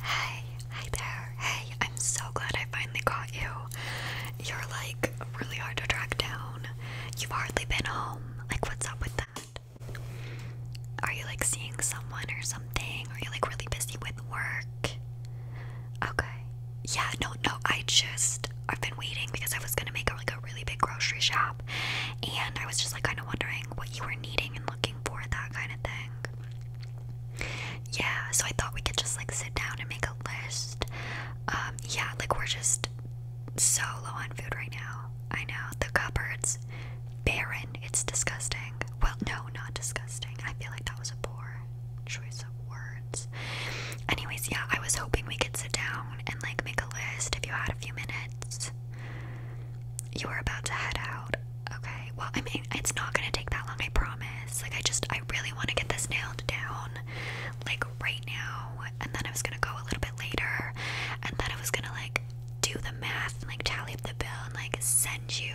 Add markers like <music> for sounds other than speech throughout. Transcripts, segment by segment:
Hey, hey there. Hey, I'm so glad I finally caught you. You're like really hard to track down. You've hardly been home. Like, what's up with that? Are you like seeing someone or something? Are you like really busy with work? Okay. Yeah, no, no, I just I've been waiting because I was gonna make like a really big grocery shop and I was just like kinda wondering what you were needing and looking for, that kind of thing. Yeah, so I thought we could just like sit down and make a list. Um, yeah, like we're just so low on food right now. I know the cupboard's barren. It's disgusting. Well, no, not disgusting. I feel like that was a poor choice of words. Anyways, yeah, I was hoping we could sit down and like make a list if you had a few minutes. You are about to head out. Okay. Well, I mean, it's not gonna take that long, I promise. Like, I just, I really want to get this nailed down, like right now. And then I was gonna go a little bit later, and then I was gonna like do the math and like tally up the bill and like send you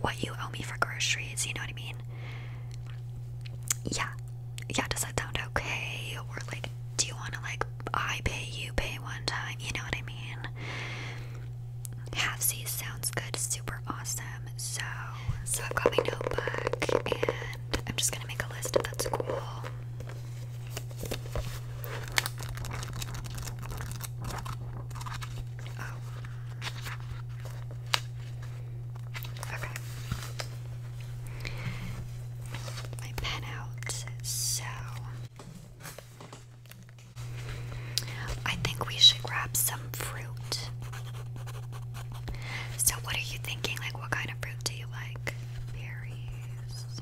what you owe me for groceries. You know what I mean? Yeah. Yeah. Does that sound okay? Or like, do you want to like I pay, you pay one time? You know what I mean? Half C sounds good, super awesome. So, so I've got my notebook and I'm just gonna make a list. That's cool. Oh. Okay. My pen out. So. I think we should grab some fruit. So, what are you thinking? Like, what kind of fruit do you like? Berries,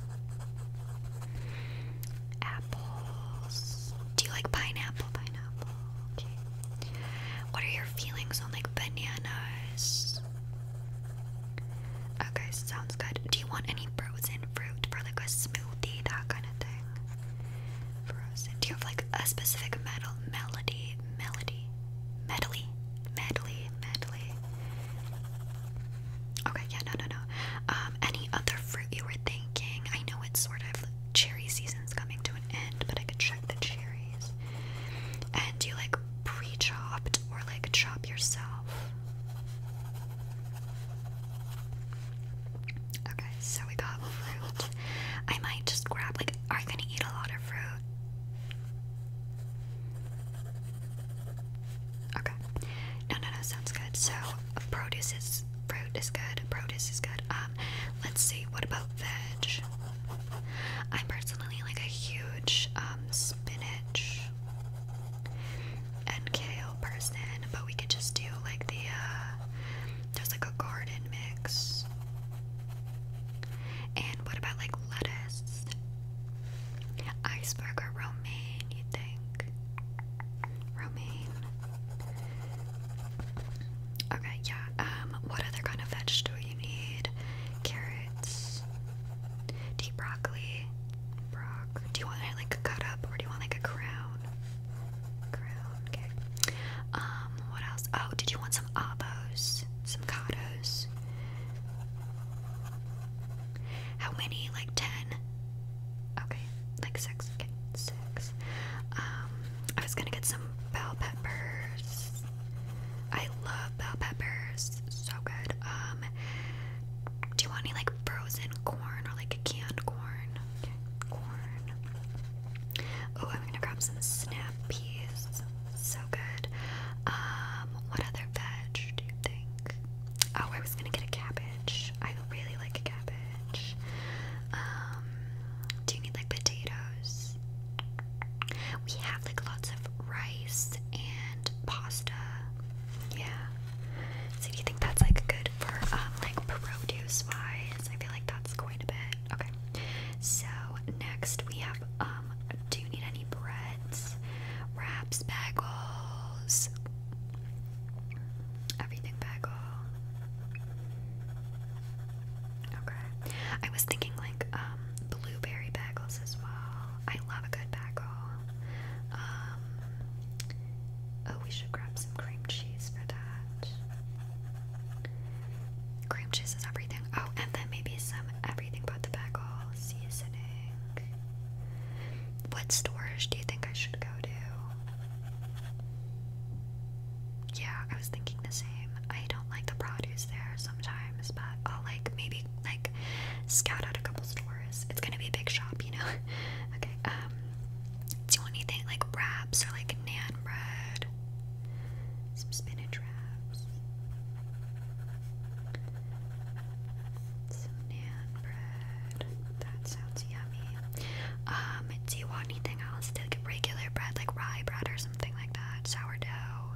apples. Do you like pineapple? Pineapple. Okay. What are your feelings on like bananas? Okay, sounds good. Do you want any frozen fruit for like a smoothie, that kind of thing? Do you have like a specific metal melody? Melody? Medley? Medley? Medley? Okay, yeah, no, no, no. Um, any other fruit you were thinking? I know it's sort of cherry season's coming to an end, but I could check the cherries. And do you like pre chopped or like chop yourself? Okay, so we got fruit. I might just grab, like, are you gonna eat a lot of fruit? Okay. No, no, no, sounds good. So, produce is, fruit is good, produce is good. Um, let's see, what about veg? I'm personally like a huge, um, spinach NKO person, but we could just do like the uh, there's like a garden mix. And what about like lettuce? Iceberg or romaine, you think? Romaine. Okay, yeah. Um, what other kind of vegetable you need? Carrots. Do broccoli? Brock. Do you want it like cut up or do you want like a crown? Um, what else? Oh, did you want some abos? Some kados? How many? Like ten? Okay, like six. Okay, six. Um, I was gonna get some bell peppers. I love bell peppers. So good. Um, do you want any like frozen corn or like a canned corn? Oh, I'm gonna grab some snap peas. So good. Um, what other veg do you think? Oh, I was gonna get a cabbage. I really like a cabbage. Um, do you need like potatoes? We have like lots of rice and pasta. Yeah. So do you think that's like good for um, like produce wise? I feel like that's quite a bit. Okay. So next we have um do you need any breads? Wraps, bagels. Everything bagel. Okay. I was thinking like um blueberry bagels as well. I love a good bagel. Um, Oh, we should grab some cream cheese for that. Cream cheese is everything. Oh, and then maybe some everything but tobacco seasoning. What storage do you think I should go to? Yeah, I was thinking the same. I don't like the produce there sometimes, but I'll like maybe like scout out a couple stores. It's gonna be a big shop, you know. <laughs> okay, um do anything like wraps or like nan bread. spinach wraps. Some nan bread. That sounds yummy. Um, do you want anything else? Like regular bread, like rye bread or something like that. Sourdough.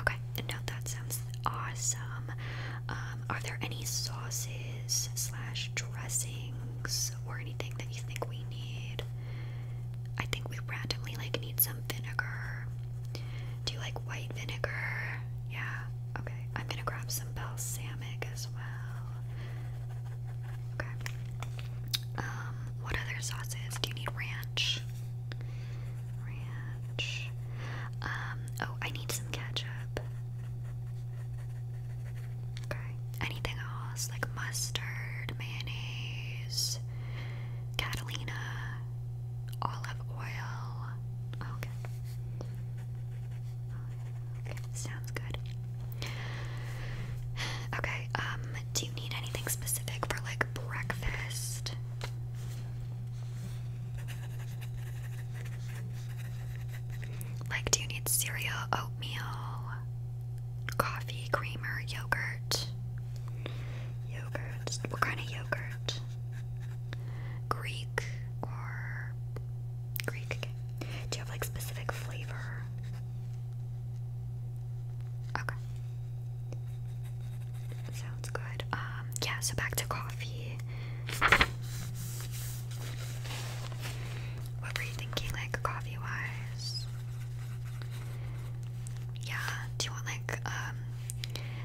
Okay, no, that sounds awesome. Um, are there any sauces slash dressings? or anything that you think we need. I think we randomly like need some vinegar. Do you like white vinegar? Yeah. Okay. I'm gonna grab some balsamic as well. Okay. Um, what other sauces? Do you need ranch? Ranch. Um, oh, I need some ketchup. Anything else like mustard, mayonnaise, Catalina, olive oil? Okay. Okay, sounds good. Okay, um, do you need anything specific for like breakfast? Like, do you need cereal, oatmeal, coffee, creamer, yogurt? Yogurt. What kind of yogurt? Greek or Greek? Do you have like specific flavor? Okay. Sounds good. Um, yeah, so back to coffee. What were you thinking, like coffee wise? Yeah, do you want like um,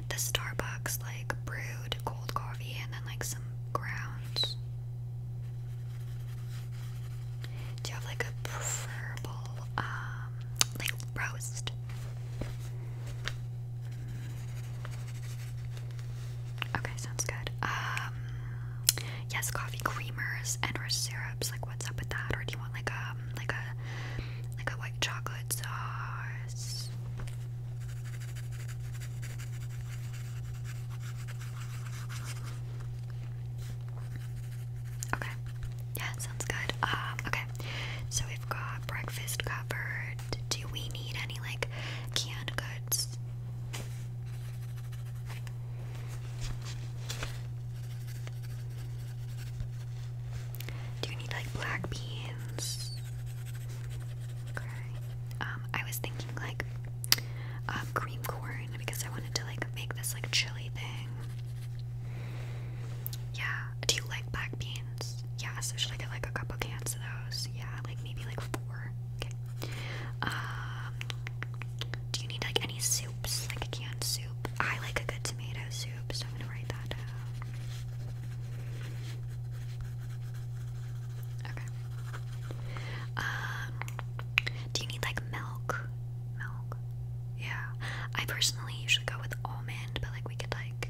the Starbucks like brewed cold coffee and then like some grounds? Do you have like a preferable um, like roast? Okay, sounds good. Um, yes, coffee creamers and or syrups. Like, what's up with that? Or do you want like a um, like a like a white chocolate sauce? Okay. Yeah, sounds good. Um, okay. So we've got breakfast covered. Do we need any like canned goods? Do you need like black beans? Okay. Um, I was thinking like um, cream corn because I wanted to like make this like chili thing. Yeah. Do you like black beans? Yeah. So should I get like a couple cans of those? Yeah. Like maybe like four. Okay. Um, do you need like any soups, like a canned soup? I like a good tomato soup, so I'm gonna write that down. Okay. Um, do you need like milk? Milk? Yeah. I personally usually go with almond, but like we could like.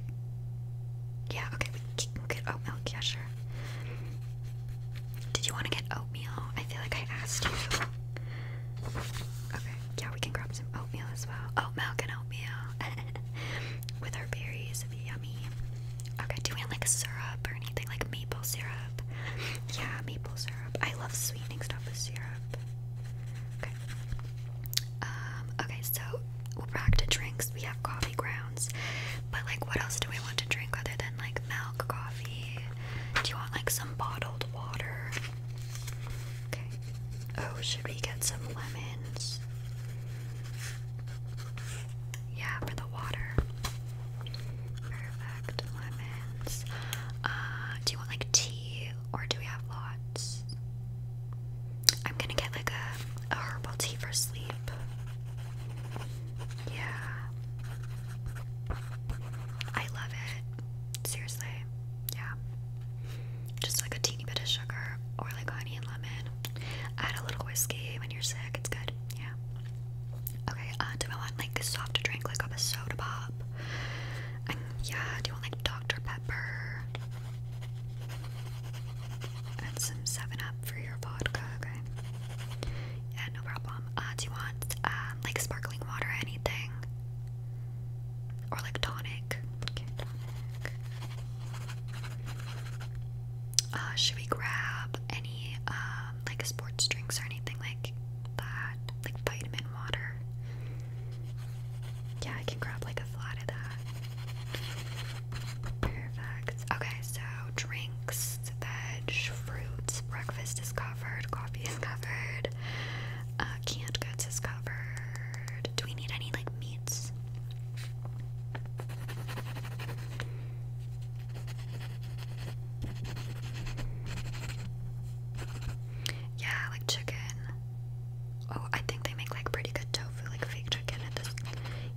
Yeah, okay, we can get oat oh, milk, yeah, sure. Did you want to get oatmeal? I feel like I asked you. Okay, yeah, we can grab some oatmeal as well. Oh, milk and oatmeal <laughs> with our berries. Yummy. Okay, do we want like a syrup or anything like maple syrup? Yeah, maple syrup. I love sweetening stuff with syrup. Okay. Um, okay, so we're back to drinks. We have coffee grounds. But like, what else do we want to drink other than like milk, coffee? Do you want like some bottled water? Okay. Oh, should we get some lemons? Yeah, for the water. Perfect. Lemons. Uh, do you want like tea or do we have lots? I'm gonna get like a herbal tea for sleep. Yeah. I love it. Seriously. Yeah. Just like a teeny bit of sugar or like honey lemon. Add a little whiskey when you're sick. It's good. Yeah. Okay. Uh, do I want like a soft drink like a soda pop? yeah. Do you want like Dr. Pepper? And some 7 Up for your vodka. Okay. Yeah, no problem. Uh, do you want um, like sparkling water or anything? Or like tonic? Uh, should we grab any um, like sports drinks or anything like that? Like vitamin water? Yeah, I can grab like a flat of that. Perfect. Okay, so drinks, veg, fruits, breakfast is covered, coffee is covered, uh, canned goods is covered. Do we need any like meats? Yeah, like chicken. Oh, I think they make like pretty good tofu, like fake chicken at this.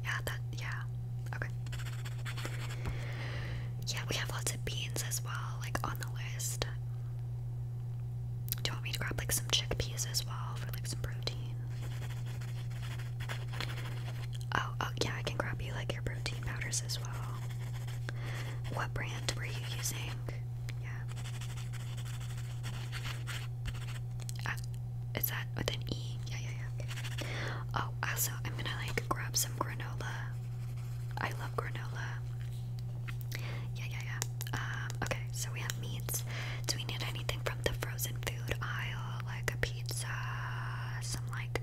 Yeah, Yeah. Okay. Yeah, we have lots of beans as well, like on the list. Do you want me to grab like some chickpeas as well for like some protein? Oh, oh yeah, I can grab you like your protein powders as well. What brand were you using? Yeah. Uh, is that with an E? Yeah, yeah, yeah. Oh, also, I'm gonna like grab some granola granola. I love granola. Yeah, yeah, yeah. Um, okay, so we have meats. Do we need anything from the frozen food aisle, like a pizza, some like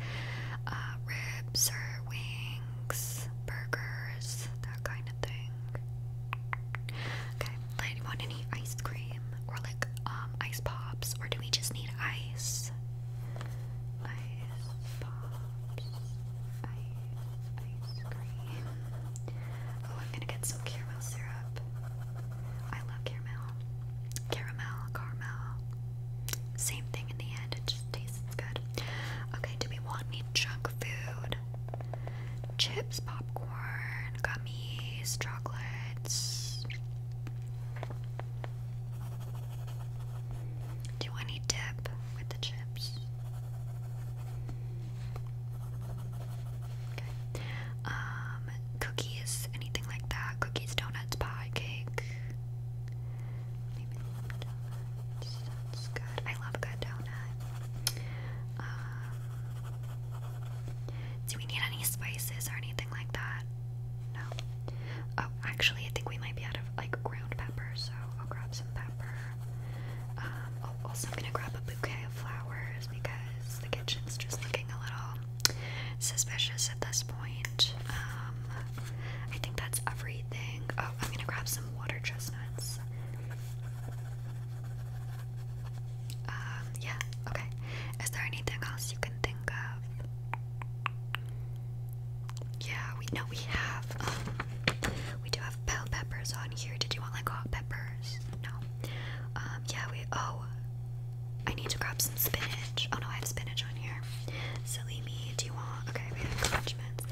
uh, ribs or wings, burgers, that kind of thing? Okay, like, do want any ice cream or like um, ice pops, or do we just need ice? ice pops, ice, ice cream. Oh, I'm gonna get some caramel syrup. I love caramel. Caramel, caramel. Same thing in the end, it just tastes good. Okay, do we want any junk food? Chips, popcorn, gummies, chocolates. Do you want dip with the chips? Um, cookies, anything like that? Cookies, donuts, pie, cake. Maybe good. I love a good donut. Um, do we need any spices or anything like that? No. Oh, actually, I think we might be out of like ground pepper, so I'll grab some pepper. Um, also, I'm gonna grab a bouquet of flowers because the kitchen's just looking a little suspicious at this point. Um, I think that's everything. Oh, I'm gonna grab some water chestnuts. Um, yeah, okay. Is there anything else you can think of? Yeah, we know we have. Um, we do have bell peppers on here. Did you want like hot peppers? No. Um, yeah, we. Oh, I need to grab some spinach. Oh no, I have spinach on here. Silly me. Do you want? Okay, we have condiments.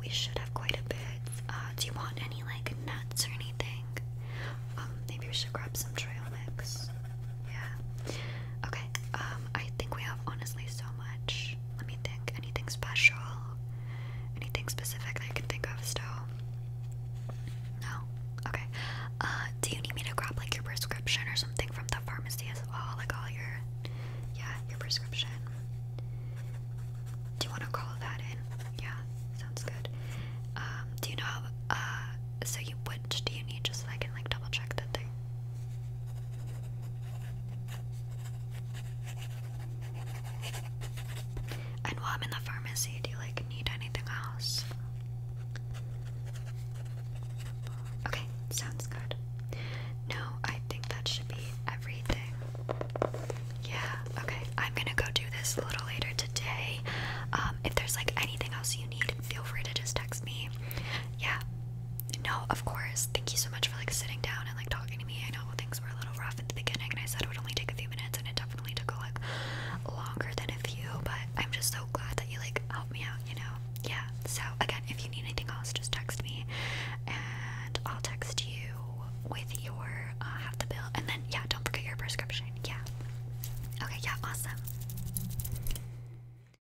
We should have quite a bit. Uh, do you want any like nuts or anything? Um, maybe we should grab some trail mix. Yeah. Okay. Um, I think we have honestly so much. Let me think. Anything special? Anything specific that I can think of still? No. Okay. Uh, do you need me to grab like your prescription or something from the pharmacy as well? Like all your, yeah, your prescription. Do you want to call that in? Yeah, sounds good. Um, do you know? Uh, so you what do you need just so I can like double check that thing? And while I'm in the pharmacy, do you like need anything else? Okay, sounds good. No, I think that should be everything. Yeah, okay. I'm gonna go do this a little later today. Um, if there's like anything else you need, feel free to just text me. Yeah, no, of course. Thank you so much for like sitting down and like talking to me. I know things were a little rough at the beginning, and I said it would only take a few minutes, and it definitely took like longer than a few. But I'm just so glad that you like helped me out. You know, yeah. So again, if you need anything else, just text me, and I'll text you with your uh, half the bill, and then yeah, don't forget your prescription. Yeah. Okay. Yeah. Awesome.